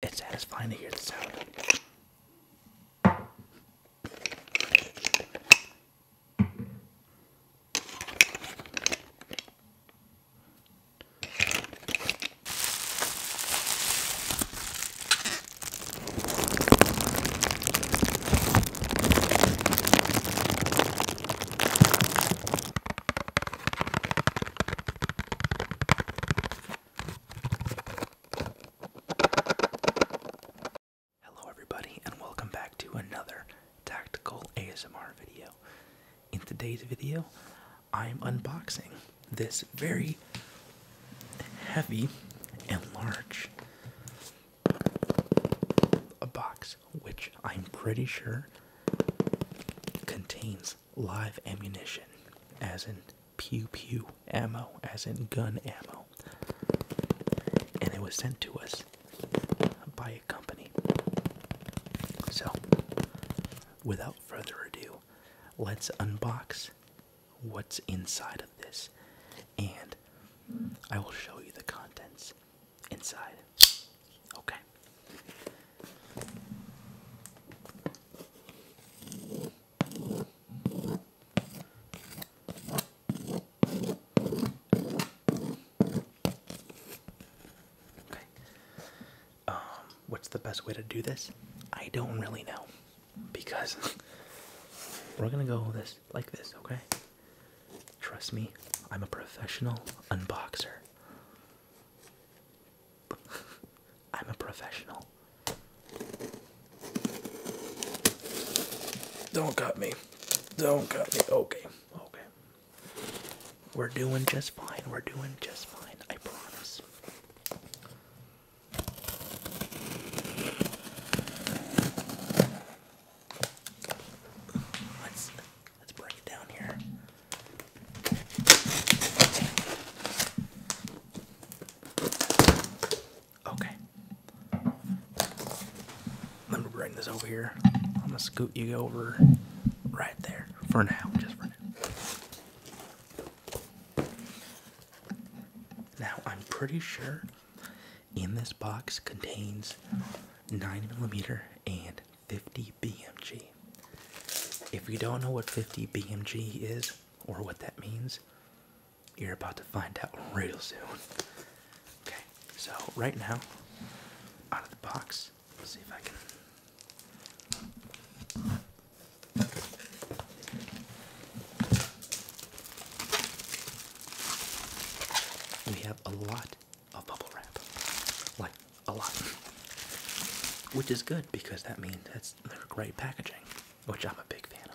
It's satisfying to hear the sound. Hello, everybody, and welcome back to another tactical ASMR video. In today's video, I'm unboxing this very heavy and large a box, which I'm pretty sure contains live ammunition, as in pew pew ammo, as in gun ammo. And it was sent to us by a company. So, without further ado, let's unbox what's inside of this and I will show you the contents inside. Okay. Okay. Um, what's the best way to do this? I don't really know because we're gonna go this like this, okay? Trust me, I'm a professional unboxer. I'm a professional. Don't cut me. Don't cut me. Okay. Okay. We're doing just fine. We're doing just fine. I promise. Let's let's break it down here. Okay. Let me bring this over here. I'm gonna scoot you over right there for now, just for now. Now, I'm pretty sure in this box contains 9mm and 50 BMG. If you don't know what 50 BMG is or what that means, you're about to find out real soon. Okay, so right now, out of the box, see if I can. We have a lot of bubble wrap, like a lot, which is good because that means that's great packaging, which I'm a big fan of.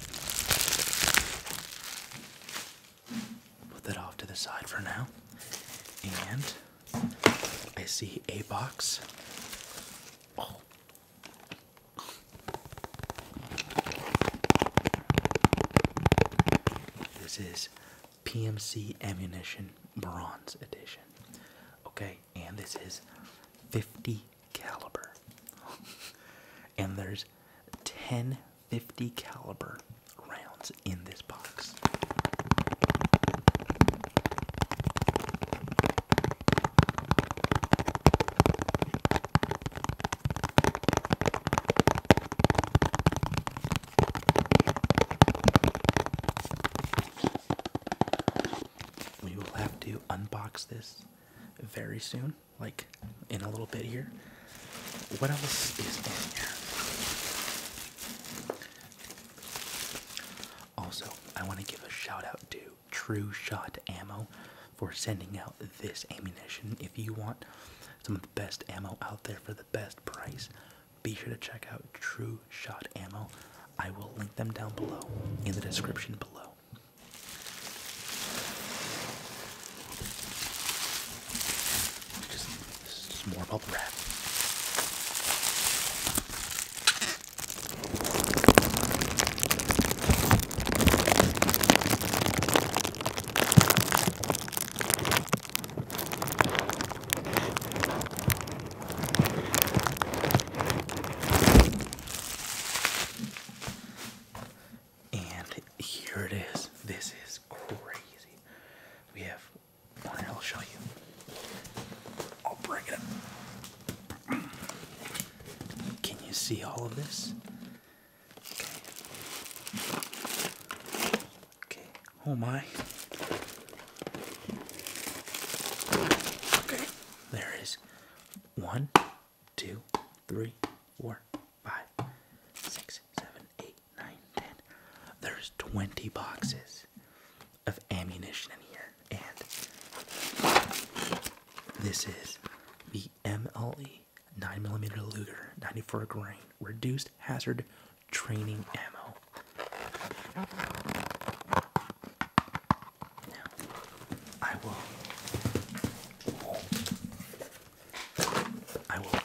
Put that off to the side for now. And I see a box. This is PMC Ammunition Bronze Edition. Okay, and this is 50 caliber. and there's ten fifty caliber rounds in this box. We will have to unbox this very soon, like in a little bit here. What else is in here? Also, I want to give a shout out to True Shot Ammo for sending out this ammunition. If you want some of the best ammo out there for the best price, be sure to check out True Shot Ammo. I will link them down below in the description below. Just, this is just more bubble wrap. And here it is. This is crazy. We have I'll show you. I'll break it Can you see all of this? Okay. Okay. Oh my. Okay. There is one, two, three, four, five, six, seven, eight, nine, ten. There's 20 boxes of ammunition in here, and this is the MLE 9mm Luger 94 grain reduced hazard training ammo. I will. I will.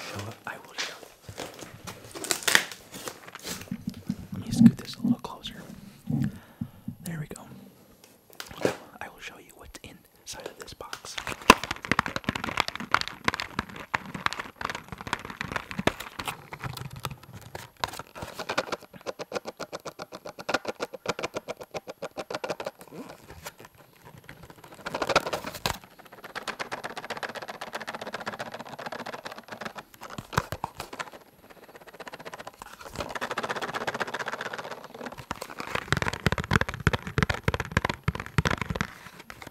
Show up. I will show. Let me scoot this a little closer. There we go. I will show you what's inside of this box.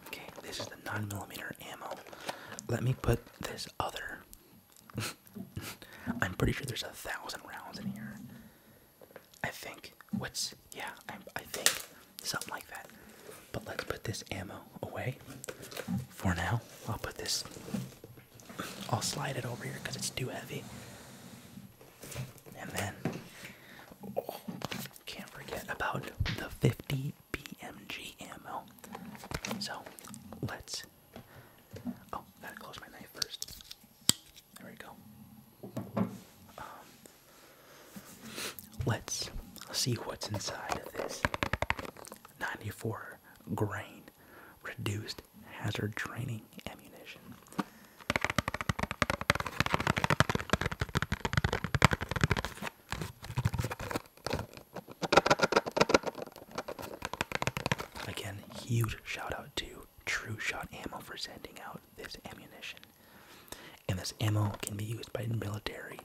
Okay, this is the 9mm ammo. Let me put this other I'm pretty sure there's a thousand rounds in here. I think. What's. Yeah, I, I think. Something like that. But let's put this ammo away for now. I'll put this. I'll slide it over here because it's too heavy. And then. Oh, can't forget about the 50 BMG ammo. So let's Oh, gotta close my knife first. There we go. Um, let's see what's inside of this 94 grain reduced hazard training ammunition. Again, huge shout out to True Shot Ammo for sending out this ammunition. And this ammo can be used by military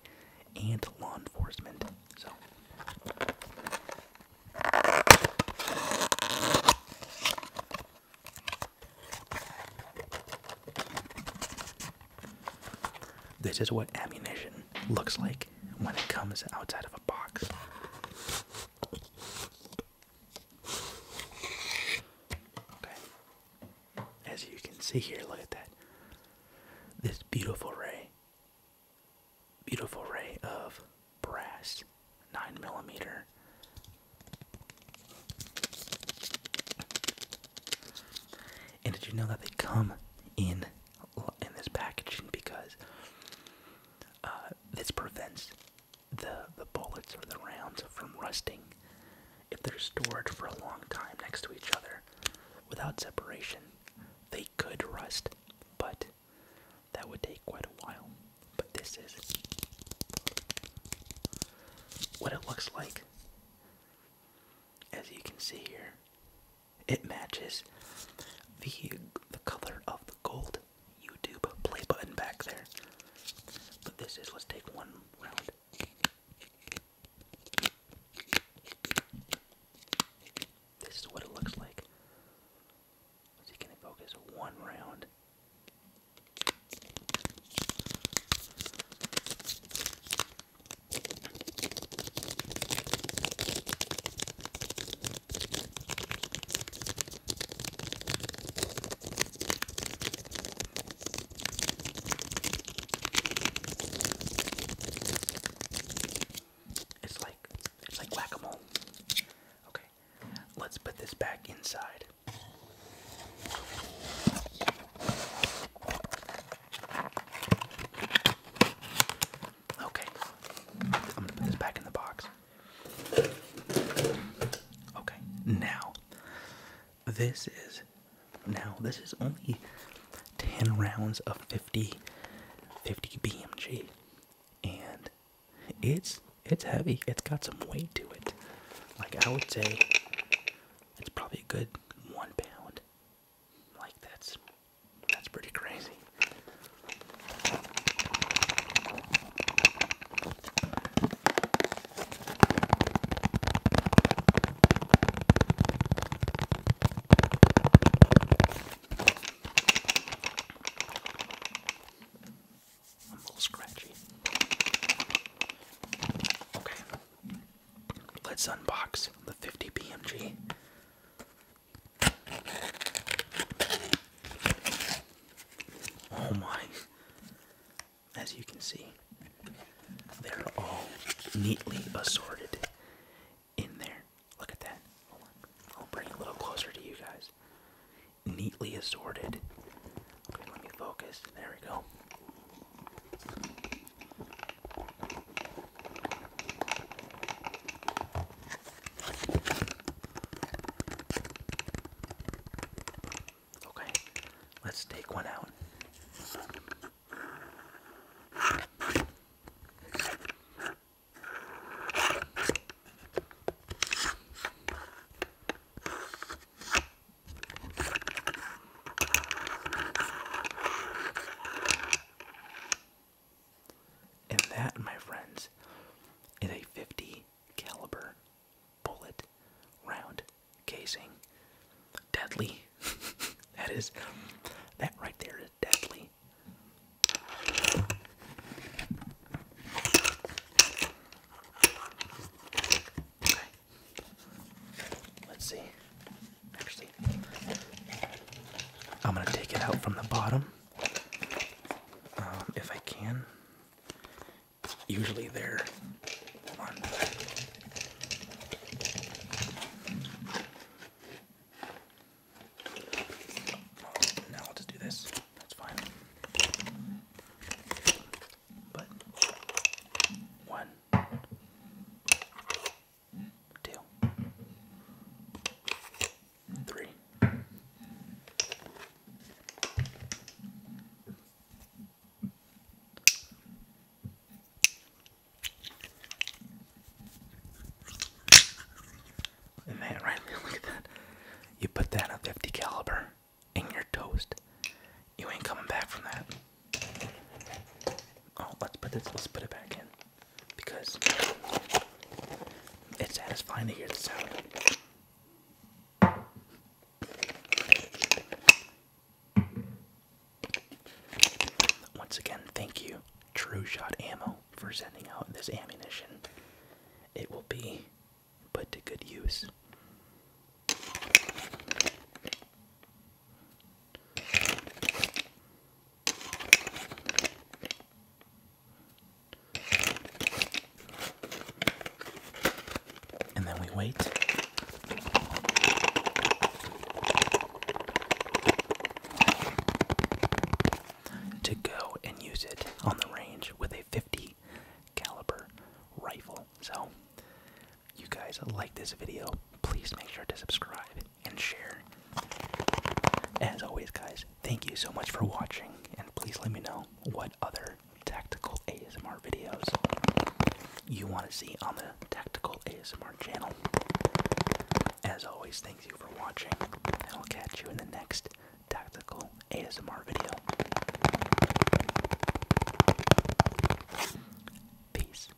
and law enforcement. So this is what ammunition looks like when it comes outside of a. As you can see here, look at that. This beautiful ray. Beautiful ray of brass. Nine millimeter. And did you know that they come in in this packaging because uh, this prevents the the bullets or the rounds from rusting if they're stored for a long time next to each other without separation. They could rust, but that would take quite a while. But this is what it looks like. As you can see here, it matches the the color of the gold YouTube play button back there. But this is let's take one round. This is what it looks like. Let's see, can focus one round? It's like it's like whack-a-mole. Okay. Let's put this back inside. Okay. I'm um, gonna put this back in the box. Okay. Now this is now this is only 10 rounds of 50 50 BMG and it's it's heavy. It's got some weight to it. Like I would say it's probably a good one pound like that's that's pretty crazy. a little scratchy. Okay, let's unbox the 50 BMG. Oh my. As you can see, they're all neatly assorted in there. Look at that. I'll bring it a little closer to you guys. Neatly assorted. Okay, let me focus. There we go. Okay, let's take one out. And that, my friends, is a 50 caliber bullet round casing. Deadly. that is that right there is deadly. Let's see. Actually, I'm gonna take it out from the bottom um, if I can. Usually they're. Now I'll just do this. That's fine. But one, two, three. And right there, look at that. You put that in a 50 caliber in your toast. You ain't coming back from that. Oh, let's put this, let's put it back in because it's satisfying to hear the sound. Once again, thank you, True Shot Ammo, for sending out this ammunition. It will be put to good use. And then we wait. To go and use it on the range with a 50 caliber rifle. So, you guys like this video, please make sure to subscribe and share. As always, guys, thank you so much for watching, and please let me know what other tactical ASMR videos you want to see on the Tactical ASMR channel. As always, thank you for watching, and I'll catch you in the next tactical ASMR video. Peace.